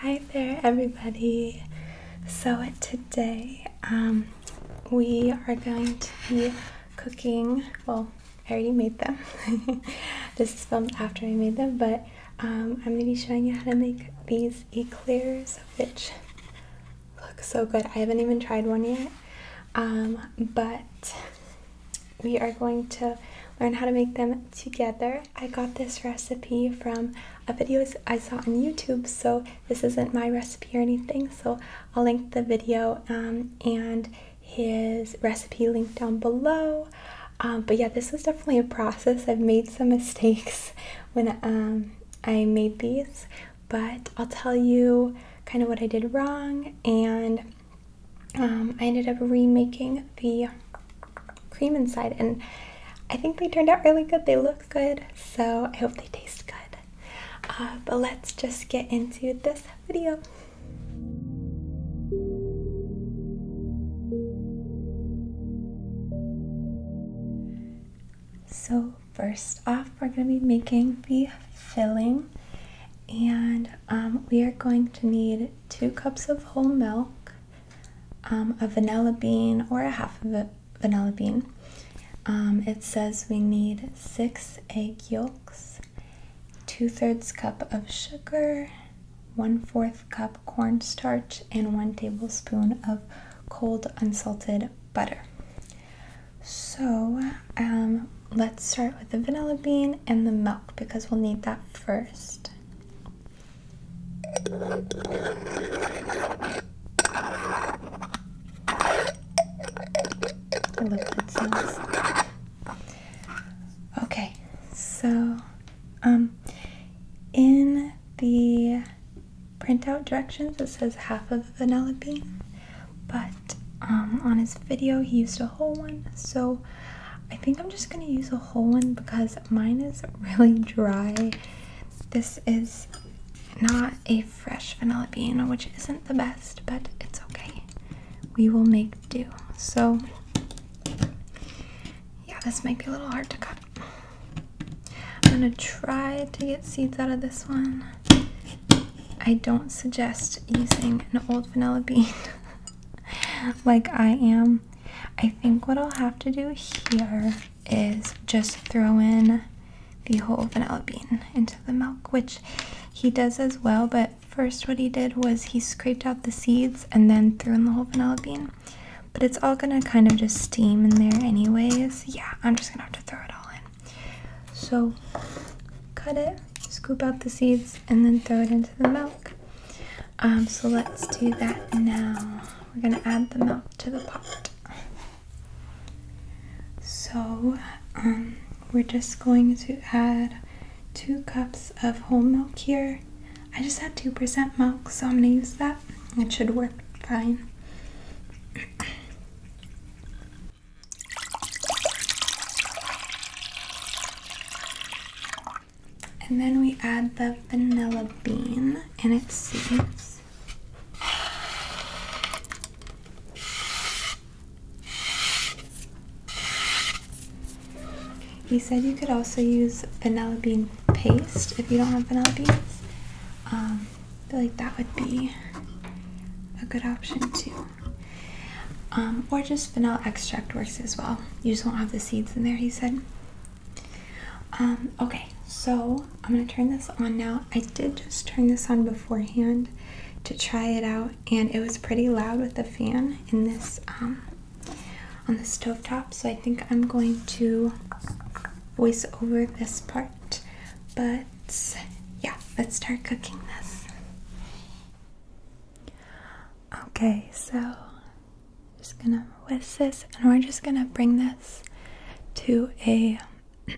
Hi there, everybody. So, today um, we are going to be cooking. Well, I already made them. this is filmed after I made them, but um, I'm going to be showing you how to make these eclairs, which look so good. I haven't even tried one yet, um, but we are going to learn how to make them together. I got this recipe from a video I saw on YouTube, so this isn't my recipe or anything, so I'll link the video um, and his recipe link down below. Um, but yeah, this was definitely a process. I've made some mistakes when um, I made these, but I'll tell you kind of what I did wrong and um, I ended up remaking the cream inside, and I think they turned out really good. They look good, so I hope they taste good. Uh, but let's just get into this video. So, first off, we're going to be making the filling and um, we are going to need two cups of whole milk, um, a vanilla bean, or a half of a vanilla bean. Um, it says we need six egg yolks, two thirds cup of sugar, one fourth cup cornstarch, and one tablespoon of cold unsalted butter. So um, let's start with the vanilla bean and the milk because we'll need that first. Okay, so um, in the printout directions it says half of a vanilla bean but um, on his video he used a whole one, so I think I'm just gonna use a whole one because mine is really dry. This is not a fresh vanilla bean, which isn't the best, but it's okay. We will make do. So, yeah, this might be a little hard to cut. I'm gonna try to get seeds out of this one. I don't suggest using an old vanilla bean like I am. I think what I'll have to do here is just throw in the whole vanilla bean into the milk, which he does as well. But first, what he did was he scraped out the seeds and then threw in the whole vanilla bean. But it's all gonna kind of just steam in there, anyways. Yeah, I'm just gonna have to throw it all in. So cut it, scoop out the seeds, and then throw it into the milk. Um, so let's do that now. We're gonna add the milk to the pot. So um, we're just going to add two cups of whole milk here. I just had 2% milk, so I'm gonna use that. It should work fine. And then we add the vanilla bean and it seeds. He said you could also use vanilla bean paste if you don't have vanilla beans. Um, I feel like that would be a good option too. Um, or just vanilla extract works as well. You just won't have the seeds in there, he said. Um, okay, so I'm gonna turn this on now. I did just turn this on beforehand to try it out, and it was pretty loud with the fan in this um, on the stove top. So I think I'm going to voice over this part, but yeah, let's start cooking this. Okay, so I'm just gonna whisk this and we're just gonna bring this to a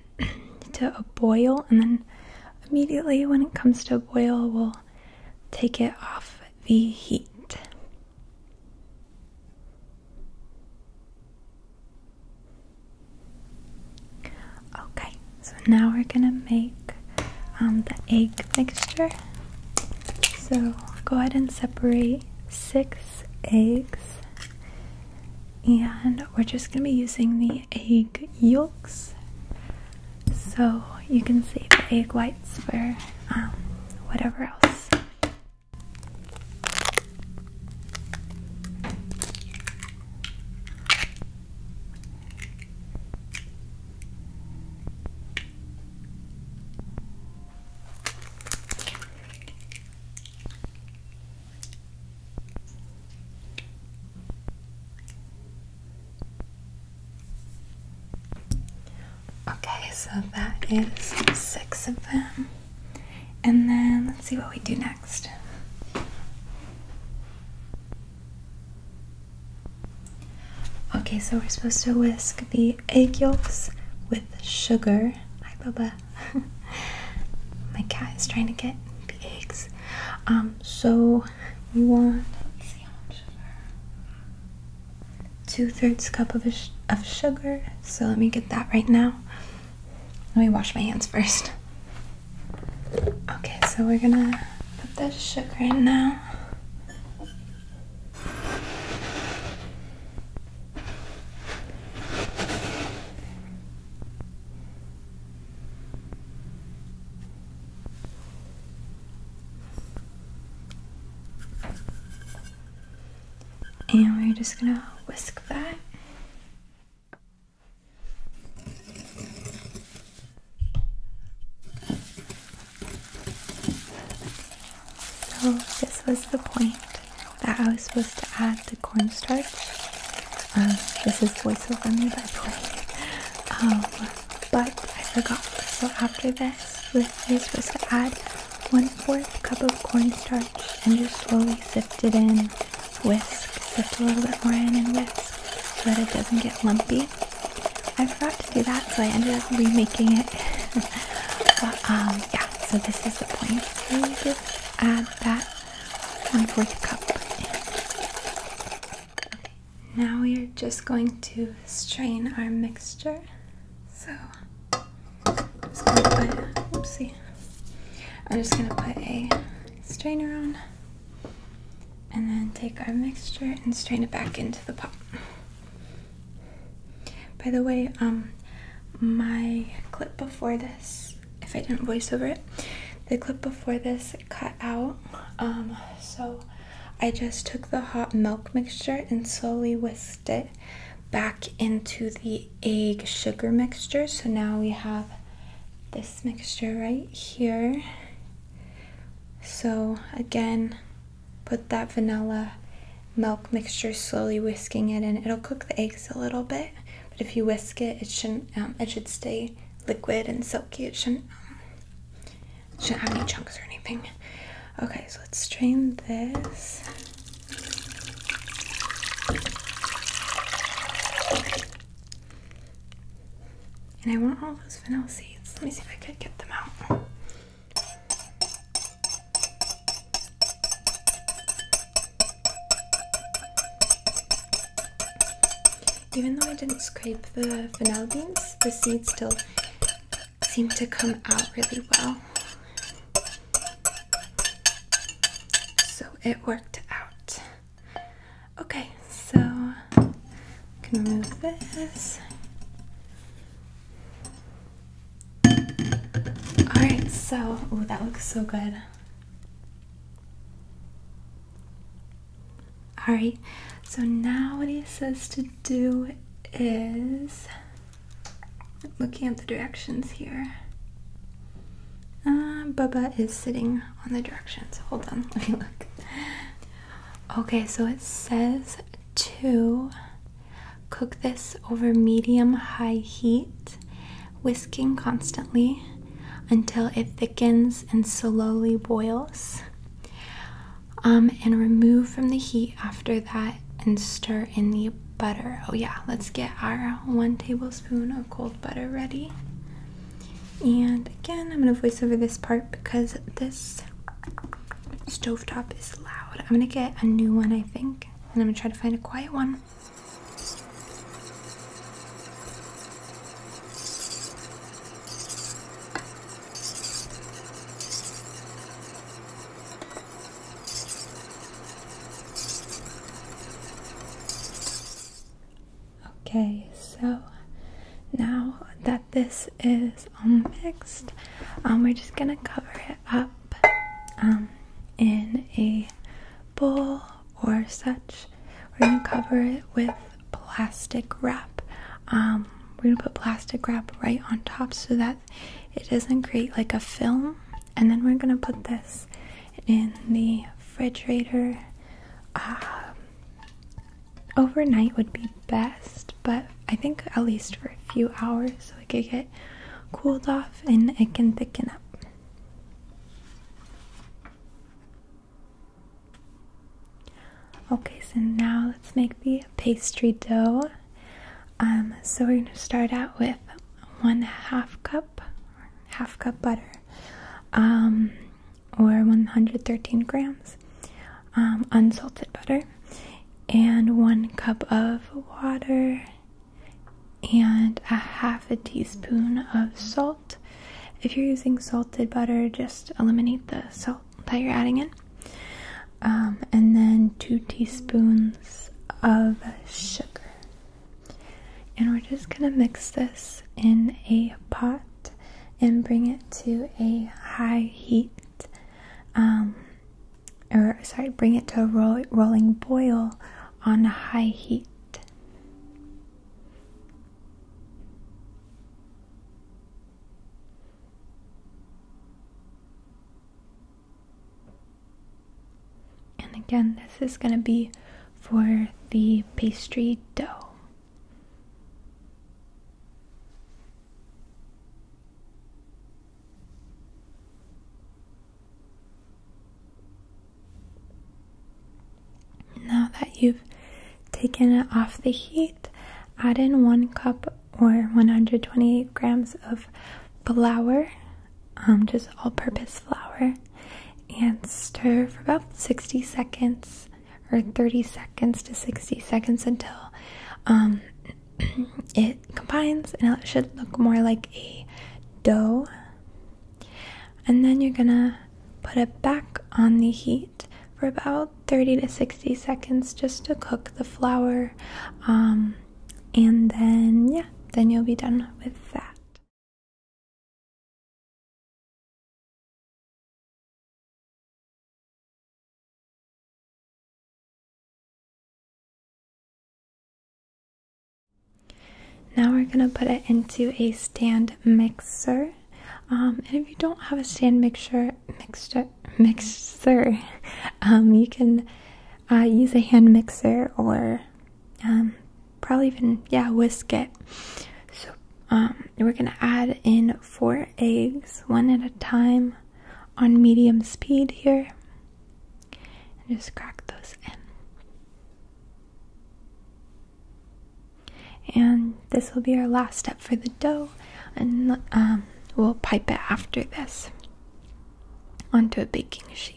to a boil and then immediately when it comes to a boil we'll take it off the heat. Okay, so now we're gonna make um, the egg mixture. So go ahead and separate six eggs, and we're just gonna be using the egg yolks. So you can save the egg whites for um, whatever else. Okay, so that is six of them. And then let's see what we do next. Okay, so we're supposed to whisk the egg yolks with sugar. Hi, Baba. My cat is trying to get the eggs. Um, so you want let's see how much sugar. Two thirds cup of of sugar. So let me get that right now. Let me wash my hands first. Okay, so we're gonna put the sugar in now. And we're just gonna whisk that. So this was the point that I was supposed to add the cornstarch. Um, this is voiceover me by the way. Um, but I forgot. So after this, you're supposed to add one fourth cup of cornstarch and just slowly sift it in whisk, sift a little bit more in and whisk so that it doesn't get lumpy. I forgot to do that, so I ended up remaking it. but, um, yeah, so this is the point. So add that one fourth cup. now we are just going to strain our mixture. So, I'm just gonna put a strainer on and then take our mixture and strain it back into the pot. By the way, um, my clip before this, if I didn't voice over it, the clip before this cut out. Um, so I just took the hot milk mixture and slowly whisked it back into the egg sugar mixture. So now we have this mixture right here. So again, put that vanilla milk mixture slowly whisking it in. It'll cook the eggs a little bit, but if you whisk it, it shouldn't. Um, it should stay liquid and silky. It shouldn't. Um, shouldn't have any chunks or anything. Okay, so let's strain this. And I want all those vanilla seeds. Let me see if I can get them out. Even though I didn't scrape the vanilla beans, the seeds still seem to come out really well. So it worked out. Okay, so I can remove this. Alright, so oh that looks so good. Alright, so now what he says to do is looking at the directions here. Uh, Bubba is sitting on the directions. Hold on, let me look. Okay, so it says to cook this over medium high heat, whisking constantly until it thickens and slowly boils. Um, and remove from the heat after that and stir in the butter. Oh, yeah, let's get our one tablespoon of cold butter ready. And again, I'm going to voice over this part because this stove top is loud. I'm going to get a new one, I think, and I'm going to try to find a quiet one. Okay, so now that this is all mixed, um, we're just gonna cover it up um, in a bowl or such. We're gonna cover it with plastic wrap. Um, we're gonna put plastic wrap right on top so that it doesn't create like a film, and then we're gonna put this in the refrigerator um, overnight would be best, but I think at least for a few hours so it could get cooled off and it can thicken up. Okay, so now let's make the pastry dough. Um, so we're going to start out with one half cup half cup butter um, or 113 grams um, unsalted butter and one cup of water and a half a teaspoon of salt if you're using salted butter just eliminate the salt that you're adding in um, and then two teaspoons of sugar and we're just going to mix this in a pot and bring it to a high heat. Um, or sorry, bring it to a rolling boil on a high heat. And again, this is going to be for the pastry dough. Now that you've taken it off the heat, add in one cup or 128 grams of flour. Um, just all purpose flour, and stir for about 60 seconds or 30 seconds to 60 seconds until um, it combines and it should look more like a dough. And then you're gonna put it back on the heat for about 30 to 60 seconds just to cook the flour. Um, and then, yeah, then you'll be done with that. Now we're going to put it into a stand mixer. Um, and if you don't have a stand mixer, mixer, mixer, um, you can uh, use a hand mixer or um, probably even yeah whisk it so um, we're gonna add in four eggs one at a time on medium speed here and just crack those in and this will be our last step for the dough and um, we'll pipe it after this onto a baking sheet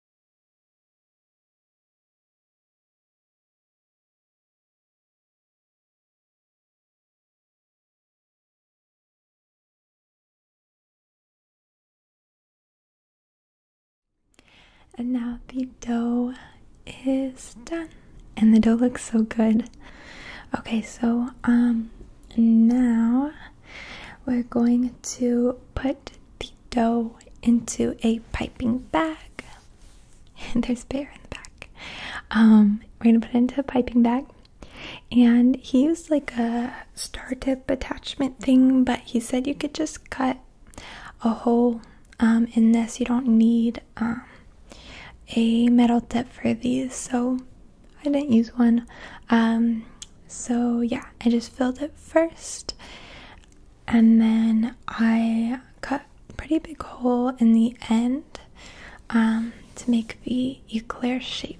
And now the dough is done. And the dough looks so good. Okay, so um now we're going to put the dough into a piping bag. And there's bear in the back. Um, we're gonna put it into a piping bag. And he used like a star tip attachment thing, but he said you could just cut a hole um, in this. You don't need um, a metal tip for these, so I didn't use one. Um, so yeah, I just filled it first and then I cut a pretty big hole in the end um, to make the eclair shape.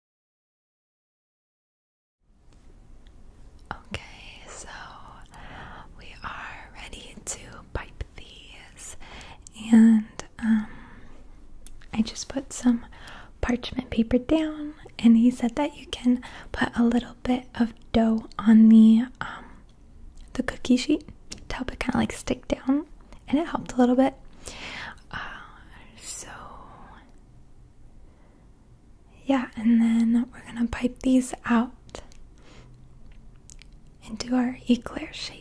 Okay, so we are ready to pipe these, and um, I just put some parchment paper down, and he said that you can put a little bit of dough on the um, the cookie sheet to help it kind of like stick down, and it helped a little bit. Uh, so yeah, and then we're gonna pipe these out into our eclair shapes.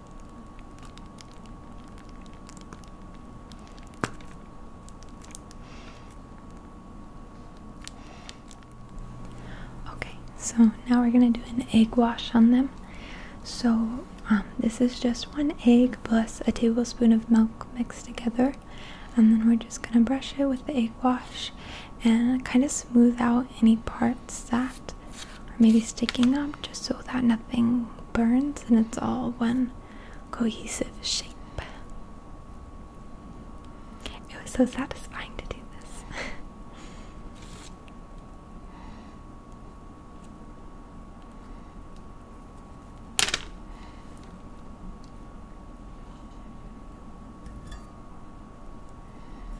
Okay, so now we're gonna do an egg wash on them. So um, this is just one egg plus a tablespoon of milk mixed together, and then we're just gonna brush it with the egg wash and kind of smooth out any parts that are maybe sticking up just so that nothing burns and it's all one cohesive shape. It was so satisfying to do this.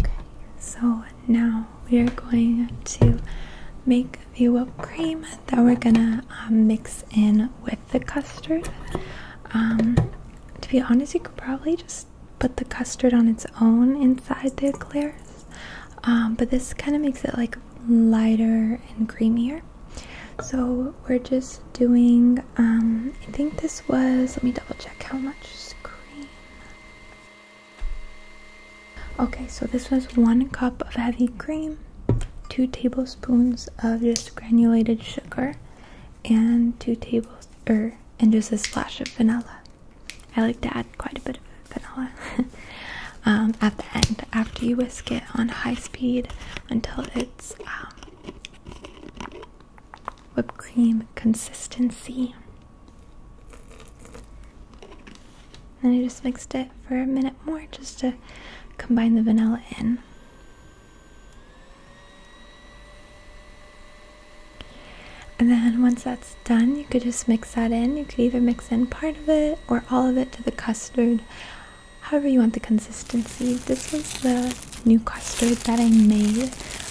Okay, so now we are going to make the whipped cream that we're gonna um, mix in with the custard. Um, to be honest, you could probably just put the custard on its own inside the eclairs, um, but this kind of makes it like lighter and creamier. So we're just doing, um, I think this was, let me double check how much cream. Okay, so this was one cup of heavy cream, two tablespoons of just granulated sugar, and two tables, er, and just a splash of vanilla. I like to add quite a bit of vanilla um, at the end after you whisk it on high speed until it um, whipped cream consistency. Then I just mixed it for a minute more just to combine the vanilla in. And then once that's done, you could just mix that in. You could either mix in part of it or all of it to the custard however you want the consistency. This was the new custard that I made.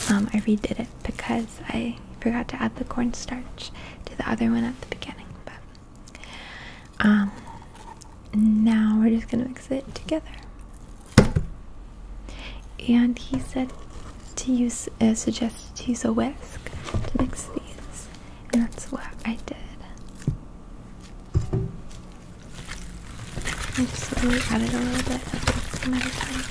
Um, I redid it because I forgot to add the cornstarch to the other one at the beginning. But um, now we're just gonna mix it together. And he said to use, uh, suggested to use a whisk to mix these, and that's what I did. And just slowly add a little bit at a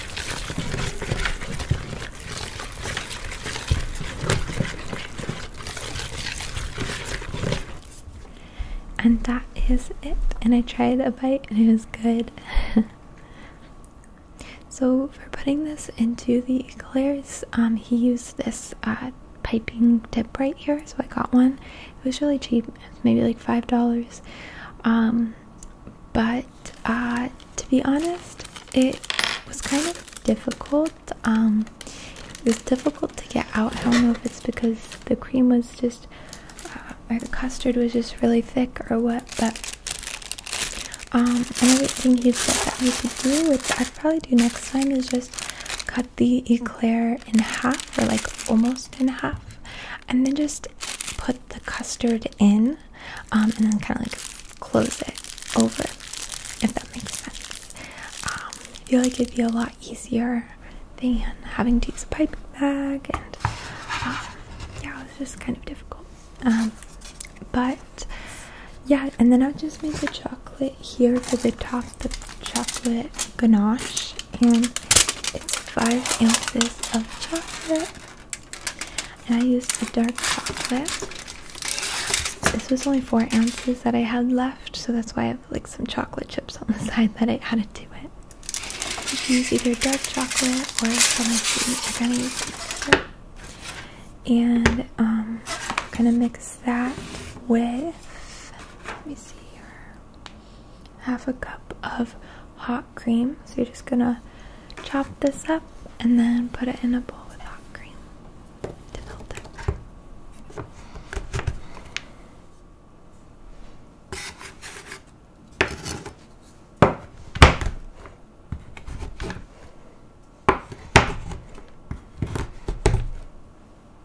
And that is it. And I tried a bite and it was good. so for putting this into the eclairs, um, he used this uh, piping tip right here, so I got one. It was really cheap, was maybe like five dollars. Um, but uh, to be honest, it was kind of difficult. Um, it was difficult to get out. I don't know if it's because the cream was just, uh, or the custard was just really thick or what, but. Um, another thing he said that we could do, which I'd probably do next time, is just cut the eclair in half or like almost in half and then just put the custard in um, and then kind of like close it over if that makes sense um, i feel like it'd be a lot easier than having to use a piping bag and um, yeah it was just kind of difficult but yeah and then i just made the chocolate here for the top, the chocolate ganache, and it's five ounces of chocolate. And I used the dark chocolate. This was only four ounces that I had left, so that's why I have like some chocolate chips on the side that I had to do it. You can use either dark chocolate or some sweet. I gonna use and I'm um, gonna mix that with let me see here, half a cup of hot cream. So you're just gonna chop this up and then put it in a bowl with hot cream to melt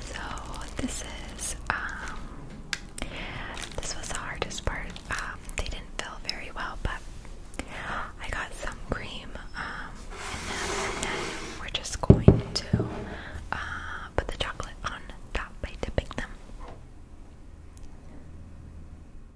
So this is um this was the hardest part. Um, they didn't fill very well but I got some cream um, and then we're just going to uh, put the chocolate on top by dipping them.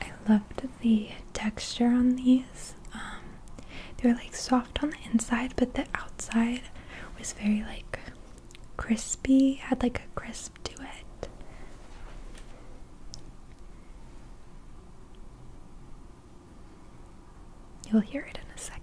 I loved the texture on these. Um, they were like soft on the inside, but the outside was very like crispy, had like a crisp to it. You'll hear it in a second.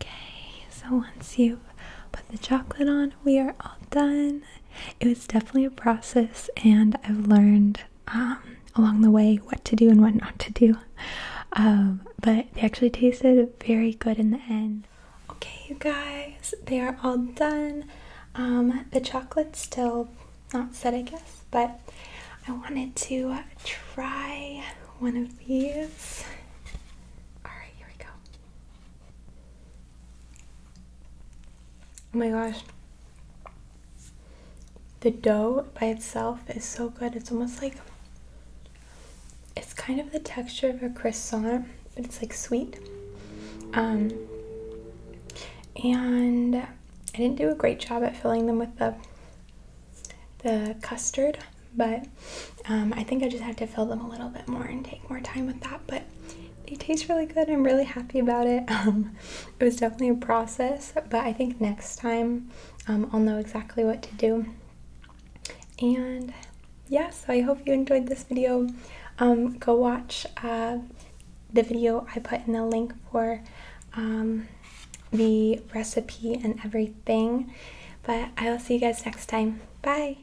Okay, so once you've put the chocolate on, we are all done. It was definitely a process, and I've learned um, along the way what to do and what not to do. Um, but they actually tasted very good in the end. Okay, you guys, they are all done. Um, the chocolate's still not set, I guess, but I wanted to try one of these. Alright, here we go. Oh my gosh. The dough by itself is so good. It's almost like it's kind of the texture of a croissant, but it's like sweet. Um, and I didn't do a great job at filling them with the the custard, but um, I think I just had to fill them a little bit more and take more time with that. But they taste really good. I'm really happy about it. Um, it was definitely a process, but I think next time um, I'll know exactly what to do. And yeah, so I hope you enjoyed this video. go watch uh, the video I put in the link for the recipe and everything. But I will see you guys next time. Bye.